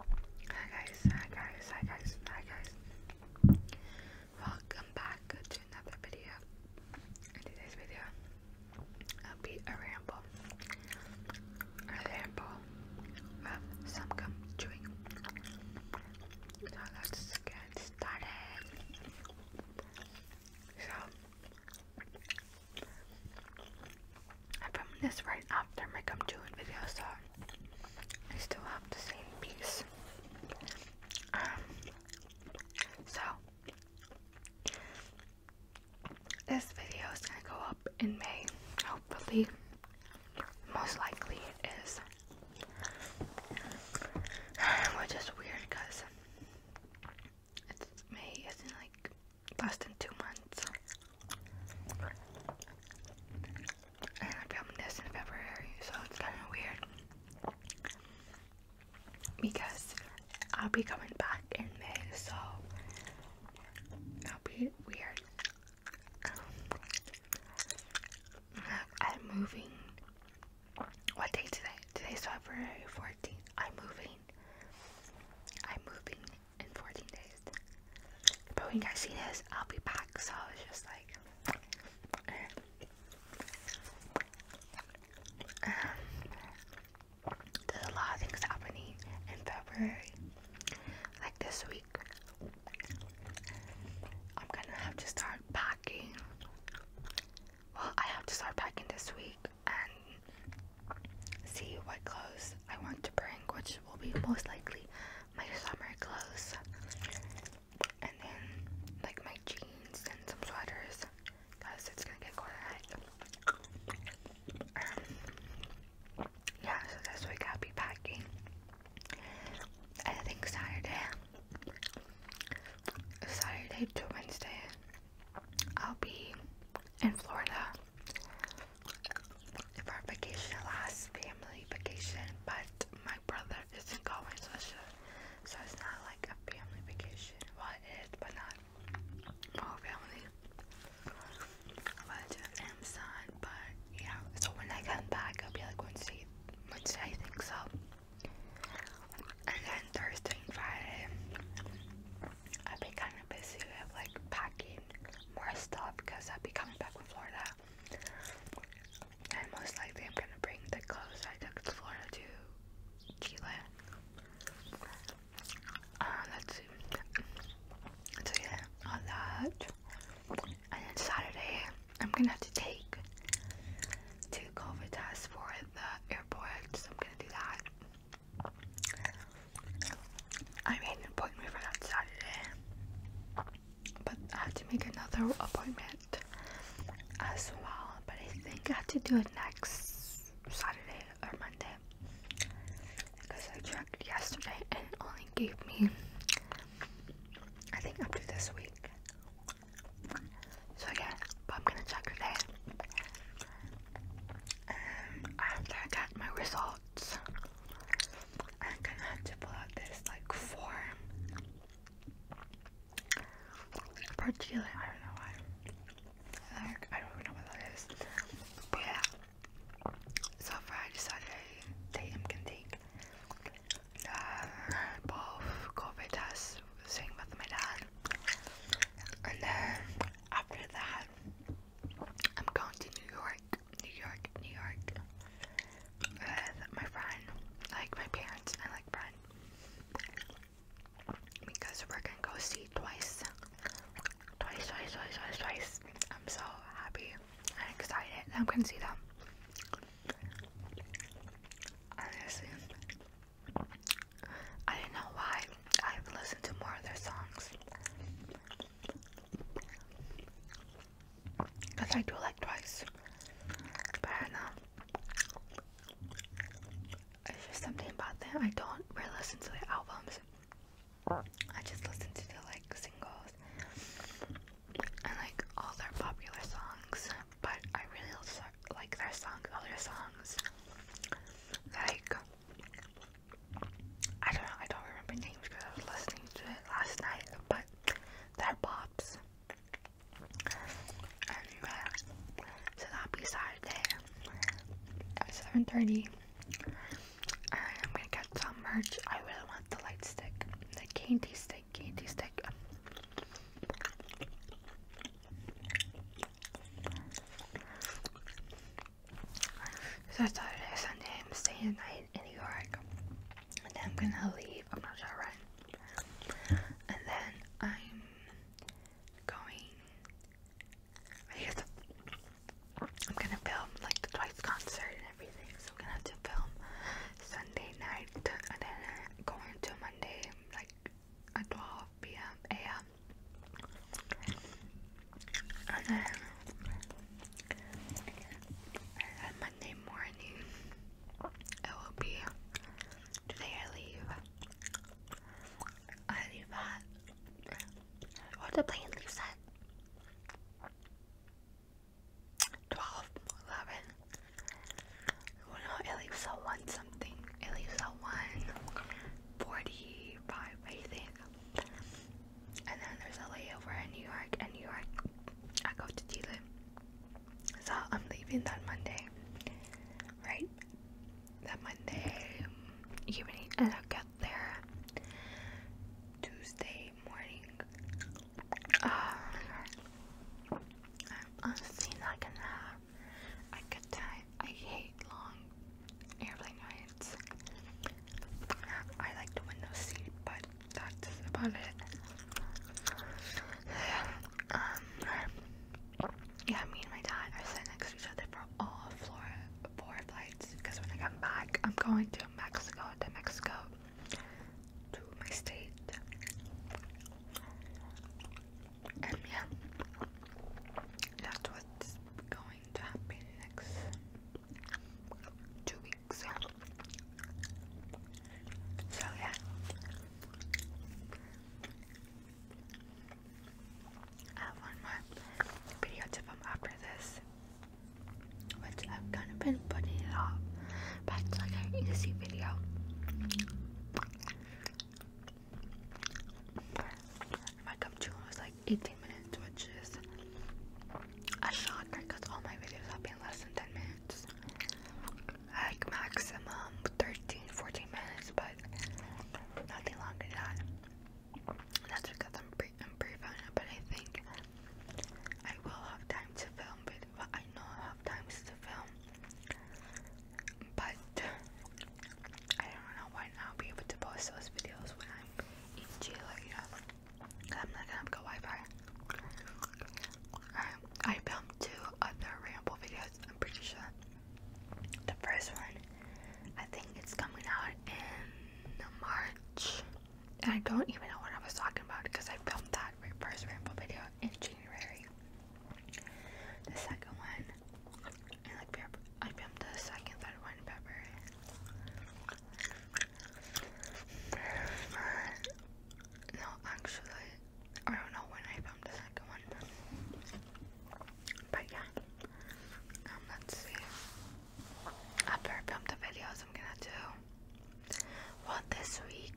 Hi guys, hi guys, hi guys, hi guys. Welcome back to another video. today's video, will be a ramble. A ramble of some gum chewing. So let's get started. So I filmed this right after my come to video, so I still have the same piece. Um, so this video is gonna go up in May, hopefully. Most likely it is. Which is weird because it's May isn't like less than two months. And I'm this in February, so it's kind of weird. Because I'll be coming back in May, so that'll be weird. Um, I'm moving. What day today? Today's February 14th. I'm moving. I'm moving in 14 days. But when you guys see this, I'll be back. So I was just like, um, there's a lot of things happening in February, like this week. I'm gonna have to start packing. Well, I have to start packing this week, and see what clothes I want to bring, which will be most likely my summer clothes, and then like my jeans and some sweaters, because it's gonna get cold out. Um, yeah, so this week I'll be packing. I think Saturday, Saturday to Wednesday, I'll be in Florida if our vacation lasts, family vacation, but my brother isn't going, so, she, so it's not like a family vacation. Well, but not all family. But I'm son, but yeah. So when I come back, I'll be like Wednesday, Wednesday, I think so. And then Thursday and Friday, i will be kind of busy with like packing more stuff because i will be coming back from Florida. And most likely, I'm gonna bring the clothes I took to Florida to Chile. Um, yeah, all that. And then Saturday, I'm gonna have to take two COVID tests for the airport, so I'm gonna do that. I made an appointment for that Saturday, but I had to make another appointment as well. But I think I have to do it next Saturday or Monday because I checked yesterday and it only gave me, I think, up to this week. So yeah, I'm gonna check today. And um, after I get my results, I'm gonna have to pull out this like form for I don't know why. Like I don't even know what that is. But yeah. So far I decided I take him can take um, both COVID tests, with my dad. And then after that, I'm going to New York, New York, New York with my friend, like my parents and like friend, because we're gonna go see twice, twice, twice, twice, twice, I'm so happy I'm excited. I'm gonna see them. I I don't know why I've listened to more of their songs. Cause I do like Twice, but I It's just something about them. I don't really listen to their albums. I just listen to the like singles and like all their popular songs, but I really like their songs, other songs. Like, I don't I don't remember names because I was listening to it last night, but they're pops. And so that'll be Saturday at 7.30. And I'm gonna get some merch. I really want the light stick, the candy stick stick, candy stick. So I started a Sunday, I'm staying the night in New York. And then I'm gonna leave, I'm not sure when. And then I'm going, I am gonna film like the Twice concert everything. So we have to film Sunday night and then go into Monday like 12 p.m. a.m. And then and Monday morning it will be today I leave. I leave at what the plane leaves at 12, 11. Well, oh, no, it leaves out one something. It leaves out one 45, I think. And then there's a layover in New York. And New York, I go to Dillon. So I'm leaving that Monday, right? That Monday evening, and I'll get there Tuesday every morning. Um, honestly, not gonna have a good time. I hate long airplane rides. I like the window seat, but that's about it. Um, yeah, me and my dad are sitting next to each other for all four flights because when I come back, I'm going to Mexico, to Mexico to my state. And yeah, that's what's going to happen next two weeks. So yeah. I have one more video to film after this, which I've kind of been putting it off, but it's like an easy video. My gum chewing was like 18 minutes, which is a shocker because all my videos have been less than 10 minutes. I maximum 13, 14 minutes, but nothing longer than that. that's because I'm I'm pretty fine, but I think I will have time to film, but I know I have times to film, but I don't know when I'll be able to post those videos when I'm in Chile, you know, I'm not gonna have good Wi-Fi. I filmed two other ramble videos, I'm pretty sure. The first one I think it's coming out in March. I don't even know what I was talking about because I filmed that first rainbow video in January. The second one, and like I filmed the second, third one in February. No, actually, I don't know when I filmed the second one. But yeah, um, let's see after I film the videos, I'm gonna do well this week.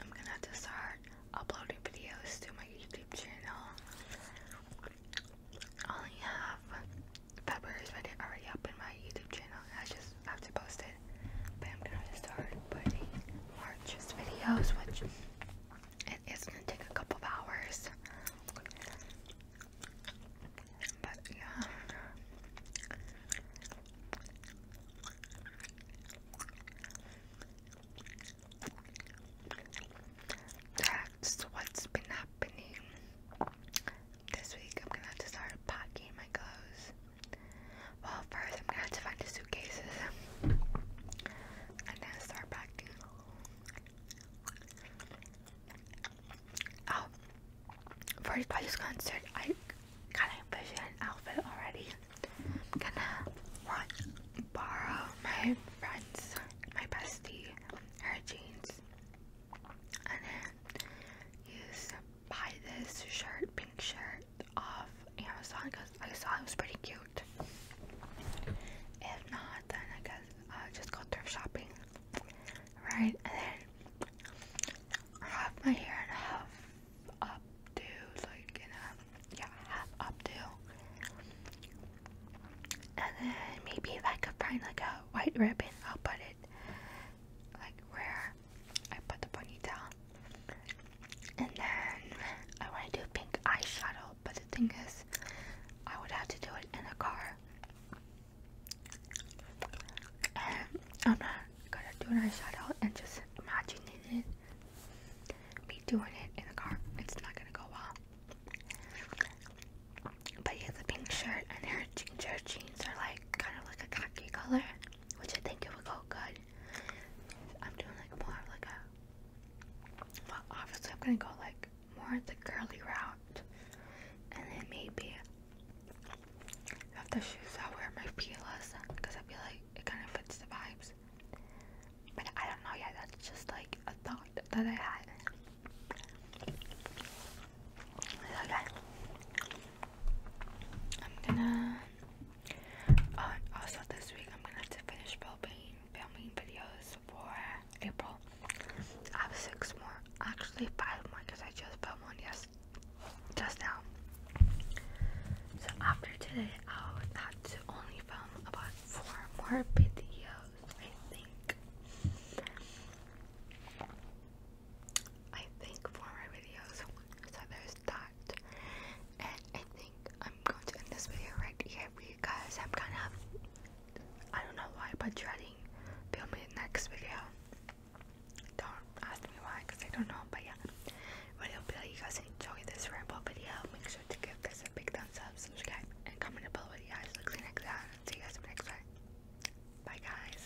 I'm gonna start uploading videos to my YouTube channel. I only have February's video already up in my YouTube channel, I just have to post it. But I'm going to start putting March's videos, which it is gonna take a couple of hours. But yeah. what's been happening. This week I'm gonna have to start packing my clothes. Well first I'm gonna have to find the suitcases. And then start packing. Oh, for this concert, I kind of envision an outfit already. I'm gonna borrow my friend's, my bestie, her jeans, and then use buy this shirt, pink shirt, off Amazon. I saw it was pretty cute. If not, then I guess just go thrift shopping, right? And then half my hair and half up like in a yeah half up and then maybe if I could find like a white ribbon, I'll put it like where I put the ponytail. And then I want to do pink eyeshadow, but the thing is, I would have to do it in a car. I'm not gonna do an eyeshadow and just imagining it. Me doing it in a car, it's not gonna go well. But yeah, the pink shirt and her ginger jeans are like kind of like a khaki color, which I think it would go good I'm doing like more of like a well obviously I'm gonna go like more the curly route and then maybe if the shoes I'll wear my Pila's because I feel like it kind of fits the vibes. But I don't know yet, that's just like a thought that I had. Okay. I'm gonna. Uh, also, this week I'm gonna have to finish filming filming videos for April. I have six more, actually five more, because I just filmed one yes just now. So after today, I will have to only film about four more videos, I think. I think four more videos. So there's that. And I think I'm going to end this video right here because I'm kind of, I don't know why, but dreading filming the next video. Don't ask me why because I don't know, but yeah. but I hope you guys enjoy this ramble video. Make sure to give this a big thumbs up, subscribe, and comment below what you guys look like next time. See you guys in the next time. Bye guys.